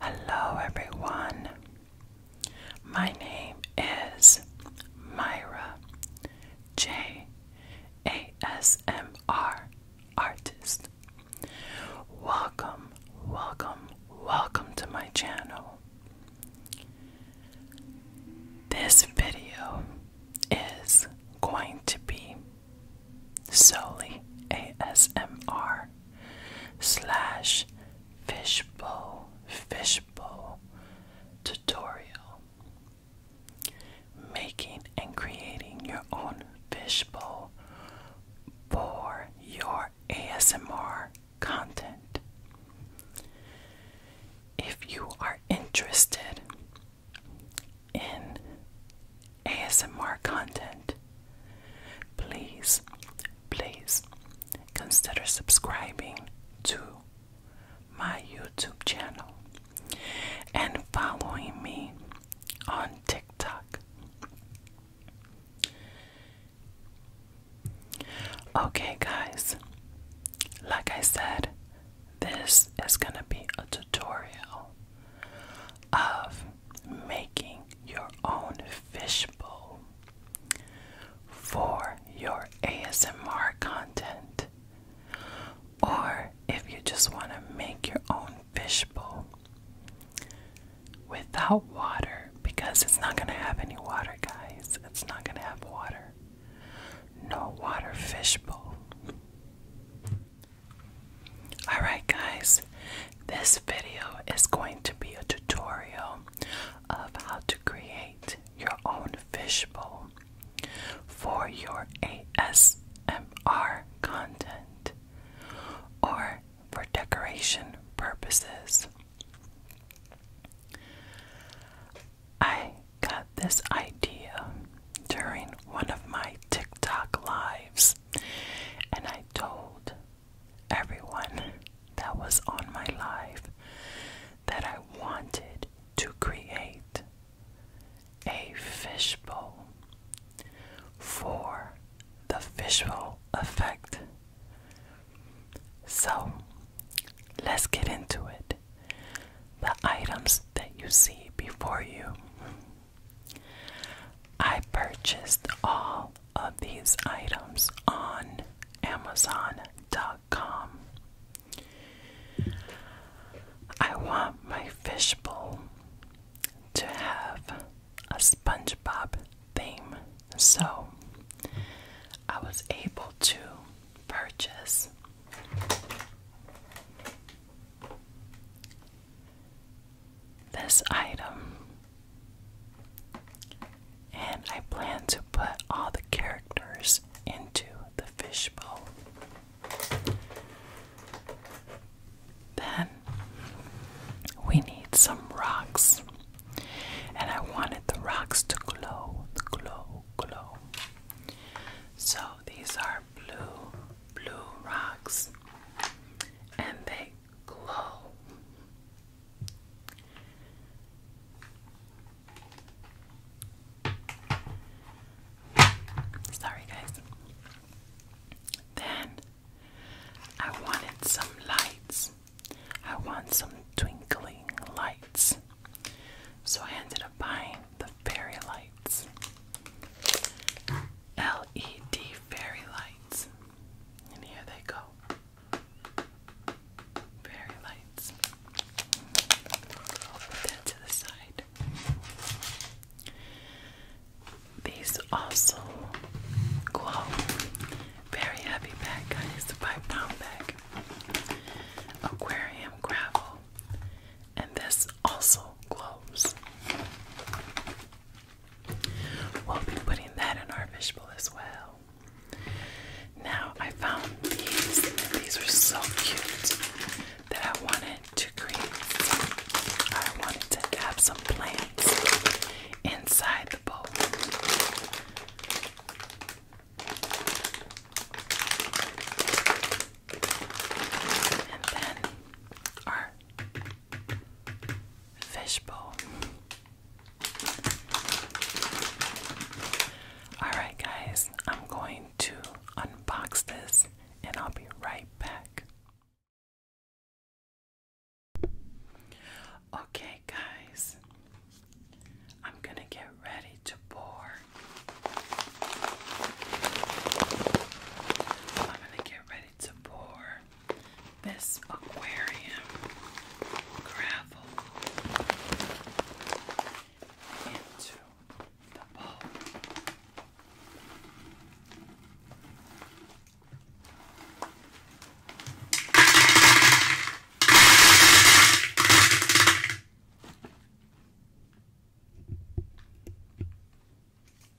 Hello, everyone. My name is Myra J A S M R Artist. Welcome, welcome, welcome to my channel. This video is going to be Sully ASMR slash fishbowl fishbowl tutorial making and creating your own fishbowl for your ASMR content. If you are interested in ASMR content, please, please consider subscribing to my YouTube channel and following me on TikTok. Okay, guys, like I said, this is going to be a tutorial of making your own fishbowl for your ASMR content. Or if you just want to make your own fishbowl without water, because it's not going to have any water, guys. It's not going to have water. No water fishbowl. Alright, guys, this video is going to be a tutorial of how to create your own fishbowl for your ASMR content or for decoration purposes. I got this idea during one of my TikTok lives. And I told everyone that was on my life that I wanted to create a fishbowl for the visual effect. So let's get into it. The items that you see before you I purchased all of these items on Amazon.com. I want my fishbowl to have a SpongeBob theme, so I was able to purchase this item. And I plan to put all the characters into the fishbowl. Then we need some rocks. And I wanted the rocks to glow, glow, glow. So these are blue, blue rocks. And they glow. Sorry, guys. Then I wanted some lights. I want some twinkling lights. So I ended up buying the fairy lights. LED fairy lights. And here they go. Fairy lights. I'll put that to the side. These also glow. Very heavy bag, guys. five pound bag. Aquarium gravel. And this also glows. We'll be putting that in our fishbowl as well. Now I found these, and these were so cute that I wanted to create I wanted to have some plants inside the bowl. And then our Fishbowl. Alright, guys, I'm going to unbox this and I'll be right back. Okay, guys, I'm gonna get ready to pour. I'm gonna get ready to pour this aquarium gravel into the bowl.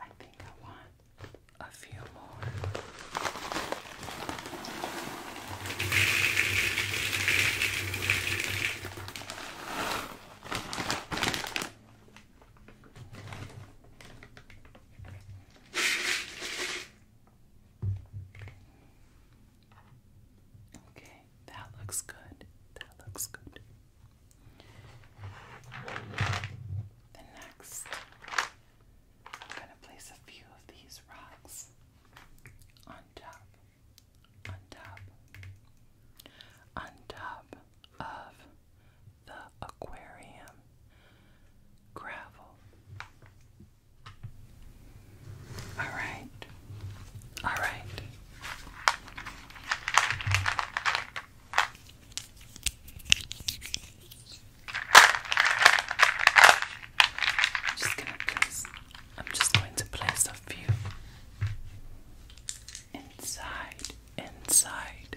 I think I want a few more. Okay, that looks good. That looks good. The next, I'm going to place a few of these rocks on top, on top, on top of the aquarium gravel. All right. All right. I'm just gonna place a few inside, inside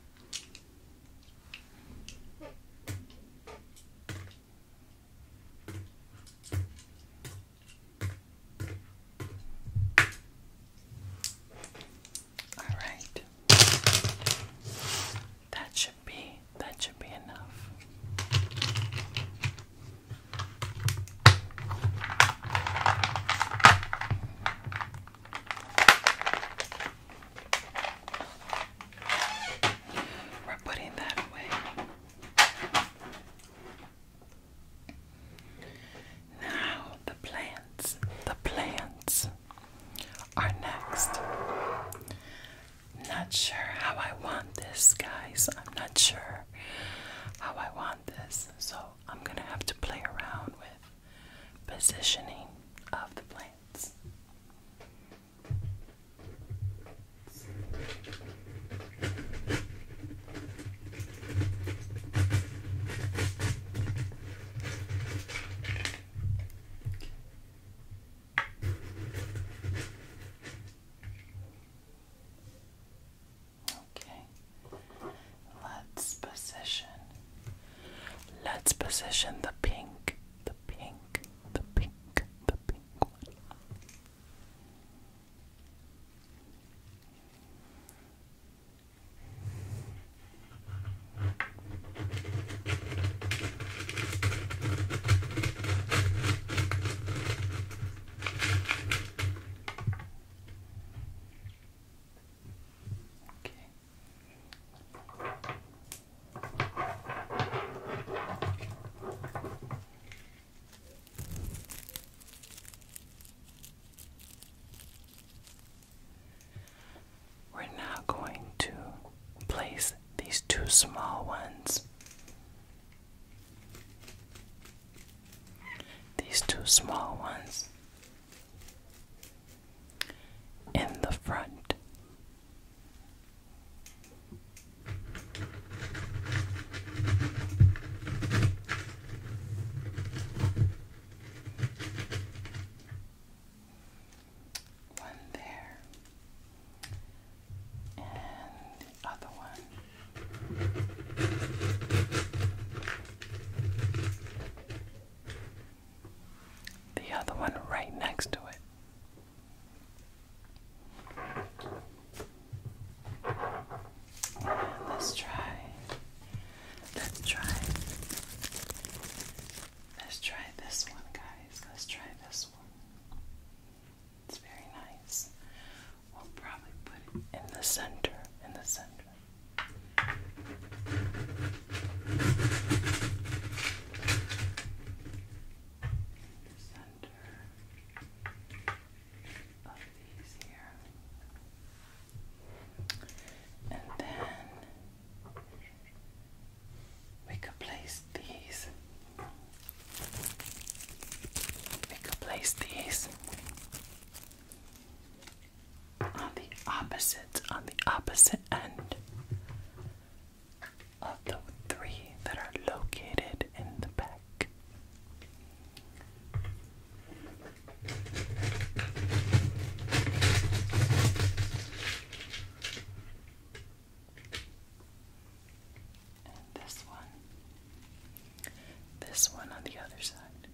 All right. That should be that should be enough. We're putting that away. Now, the plants, the plants are next. Not sure how I want this, guys. I'm not sure how I want this, so I'm gonna have to play around with positioning of the plants. Okay. Let's position. Let's position the pink, the pink, the pink, the pink one. Okay. We're now going to place these two small ones. These two small ones in the front. One there, and the other one. The other one right next to it. let's try. Let's try. Let's try this one, guys. Let's try this one. It's very nice. We'll probably put it in the center, in the center center of these here. And then we could place these. We could place these on the opposite, on the opposite end of the three that are located in the back. And this one, this one on the other side.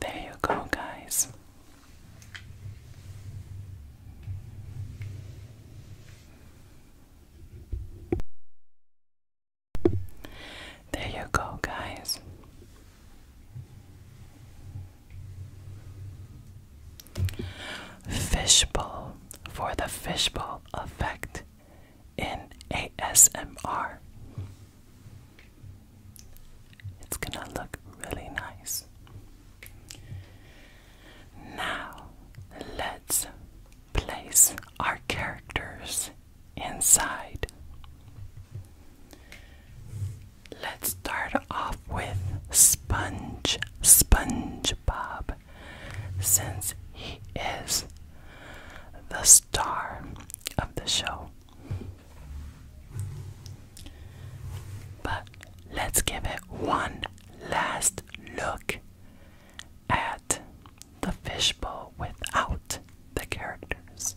There you go, guys. There you go, guys. Fishbowl for the fishbowl effect in ASMR. It's gonna look really nice. Now, let's place our characters inside. Let's start off with Sponge SpongeBob since he is the star of the show. But let's give it one last look at the fishbowl without the characters.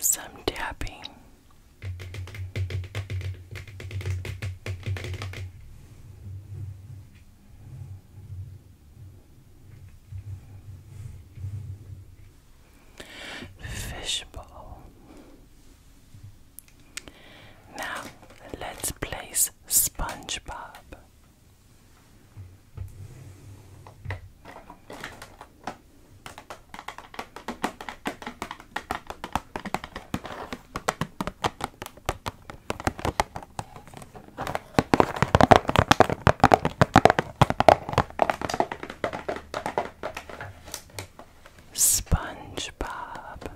Some tapping fishbowl. Now let's place SpongeBob. SpongeBob.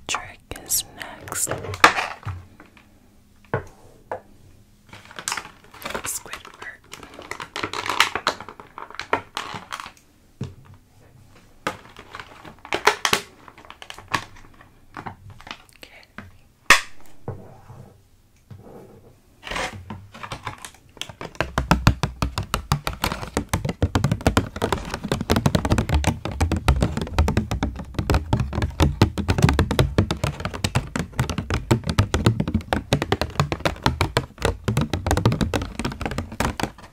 Patrick is next. Squid art. Okay.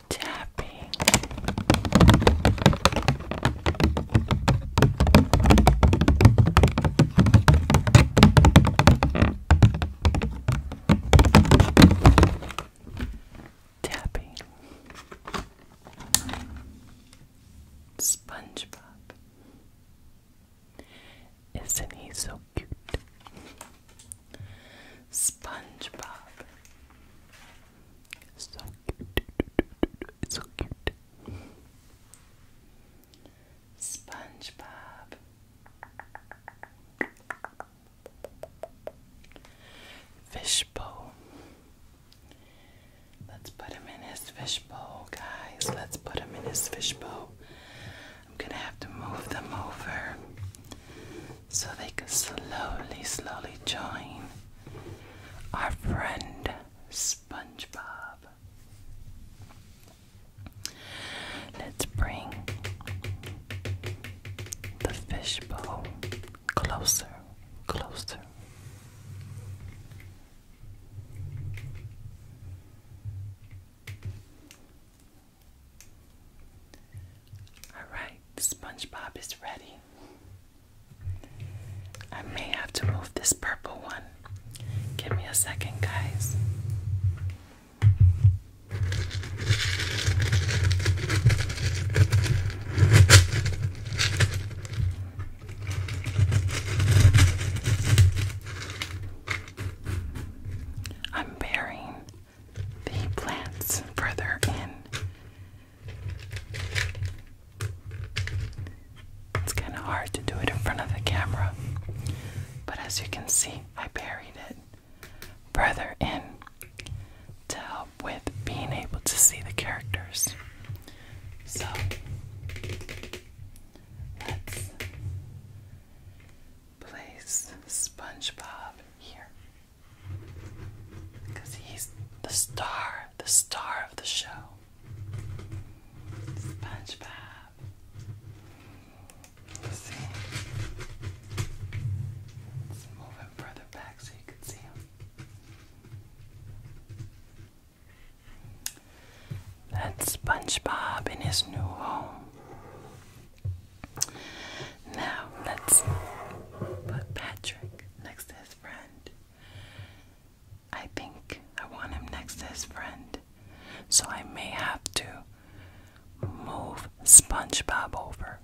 Tapping. Tapping. SpongeBob. Isn't he so cute? SpongeBob. So cute. So cute. SpongeBob. Fishbowl. Let's put him in his fishbowl, guys. Let's put him in his fishbowl. I'm gonna have to move them over so they can slowly, slowly join our friend SpongeBob. Let's bring the fishbowl closer, closer. Alright, SpongeBob is ready. I may have to move this purple one. Give me a second, guys. I'm burying the plants further in. It's kind of hard to do it in front of the camera, but as you can see, I buried it further in to help with being able to see the characters. So let's place SpongeBob here because he's the star, the star of the show. SpongeBob. Let's see. Let's move him further back so you can see him. That's SpongeBob in his new home. Now let's put Patrick next to his friend. I think I want him next to his friend, so I may have to move SpongeBob over.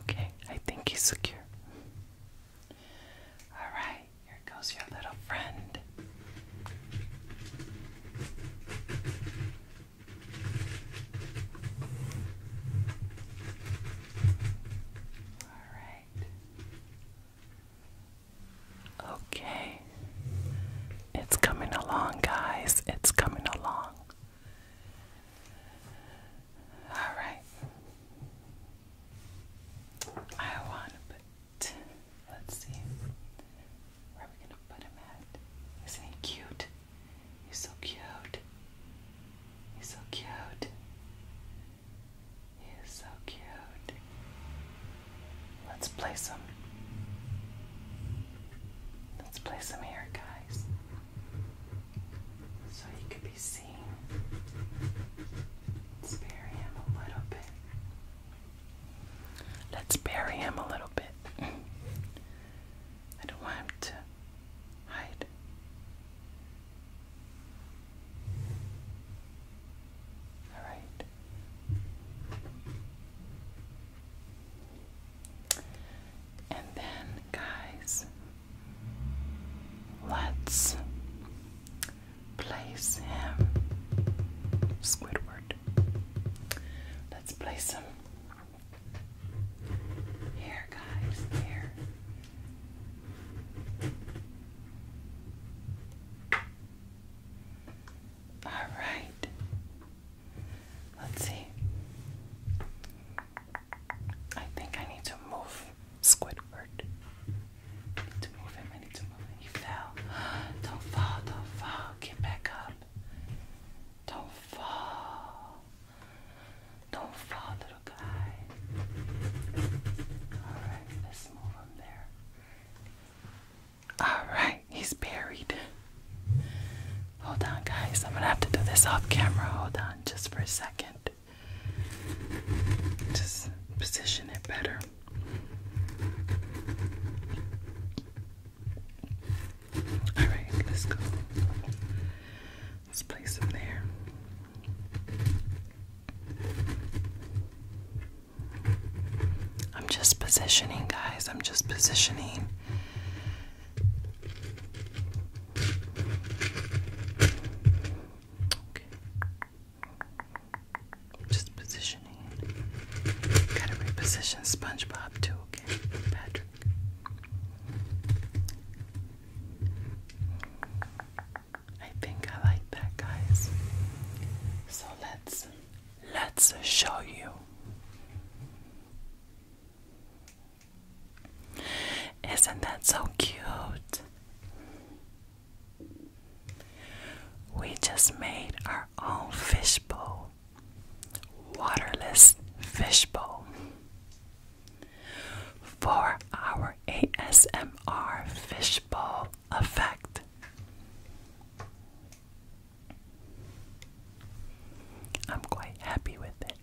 Okay, I think he's secure. All right, here goes your little friend. All right. Okay. It's coming along, guys. It's coming along. All right. I want to put, let's see, where are we going to put him at? Isn't he cute? He's so cute. He's so cute. He is so cute. Let's place him Let's play some hair, guys, so you can be seen. Let's bury him a little bit. Let's bury him a little bit. I don't want him to hide. All right. And then, guys, let's place him. Squidward. Let's place him here, guys. Here. All right. Let's see. I think I need to move Squidward. to move him. I need to move him. He fell. Don't fall. Don't fall. Get back up. Don't fall. Don't fall, little guy. Alright, let's move him there. All right, he's buried. Hold on, guys. I'm gonna have to do this off camera. Hold on just for a second. Just position it better. All right, let's go. Let's place him there. I'm just positioning, guys. I'm just positioning just positioning Gotta reposition SpongeBob too, Patrick. I think I like that, guys. So let's let's show you isn't that so cute? We just made our own fishbowl, waterless fishbowl, for our ASMR fishbowl effect. I'm quite happy with it.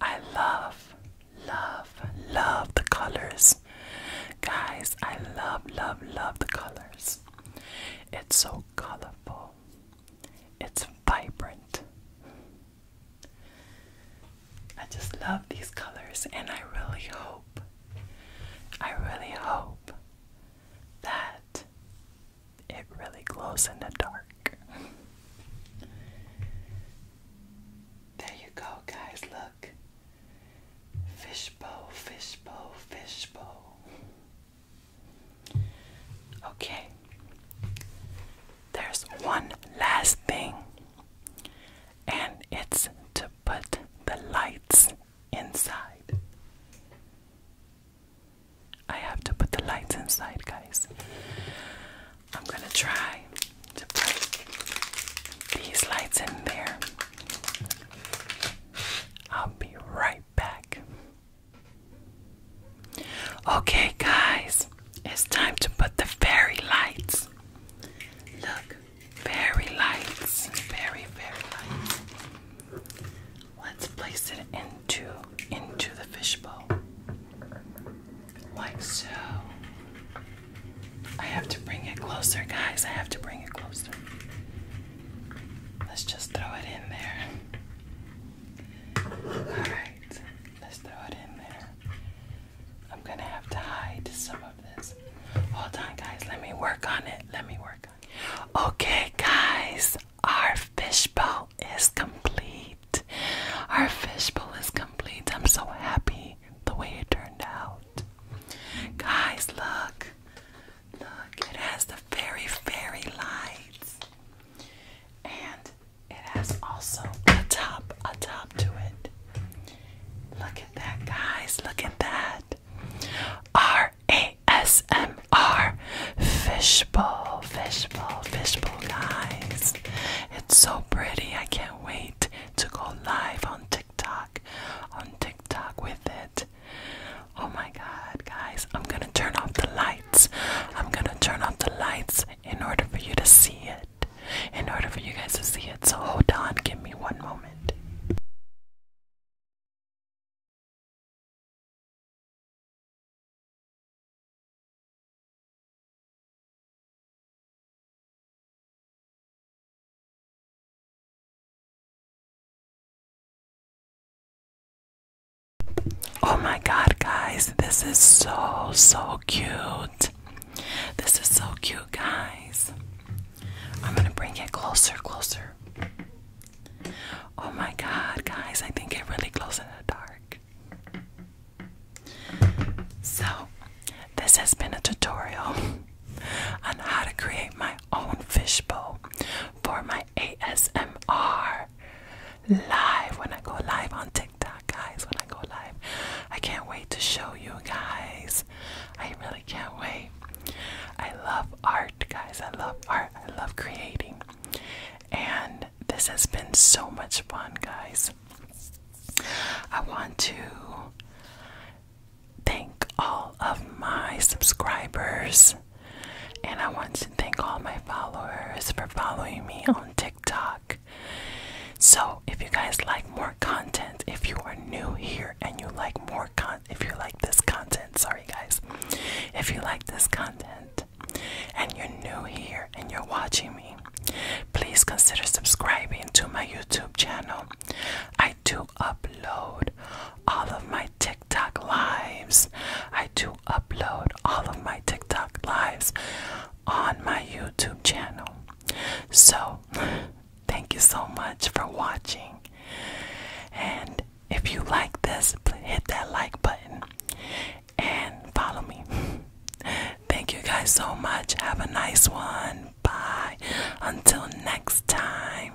I love, love, love the colors. Guys, I love, love, love the colors. It's so colorful, it's vibrant. I just love these colors, and I really hope I really hope that it really glows in the dark. there you go, guys. Look. fishbow, fishbow, fishbow. Okay. There's one last thing, and it's to put the lights inside. I have to put the lights inside, guys. I'm gonna try to put these lights in there. I'll be right back. Okay, guys, it's time to put the fairy lights. Look, very light. Very, very light. Let's place it into into the fishbowl. Like so. I have to bring it closer, guys. I have to bring it closer. Let's just throw it in there. Alright, let's throw it in there. I'm gonna have to hide some of this. Hold on, guys. Let me work on it. Let me work on Okay, guys. Our fishbowl is complete. Our fishbowl is complete. I'm so happy the way it turned out. Guys, look. Look, it has the fairy fairy lights. And it has also a top, a top to it. Look at that, guys. Look at that. R A S M R. Fishbowl, fishbowl, fishbowl, guys. It's so pretty. I can't wait to go live on TikTok. On TikTok with it. Oh my god, guys. I'm gonna turn off the lights. I'm gonna turn off the lights in order for you to see it. In order for you guys to see it. So hold on. Give me one moment. Oh my god, guys, this is so so cute. This is so cute, guys. I'm gonna bring it closer, closer. Oh my god, guys, I think it really glows in the dark. So, this has been a tutorial on how to create my own fishbowl for my ASMR live when I go live on TikTok, guys. When I go live, I can't wait to show you guys I really can't wait. I love art, guys. I love art. I love creating. And this has been so much fun, guys. I want to thank all of my subscribers. And I want to thank all my followers for following me on TikTok. So, if you guys like more content if you are new here and you like more con if you like this content sorry guys if you like this content and you're new here and you're watching me please consider subscribing to my youtube channel i do upload all of my tiktok lives i do upload all of my tiktok lives on my youtube channel so Thank you so much for watching. And if you like this, hit that like button and follow me. Thank you guys so much. Have a nice one. Bye. Until next time.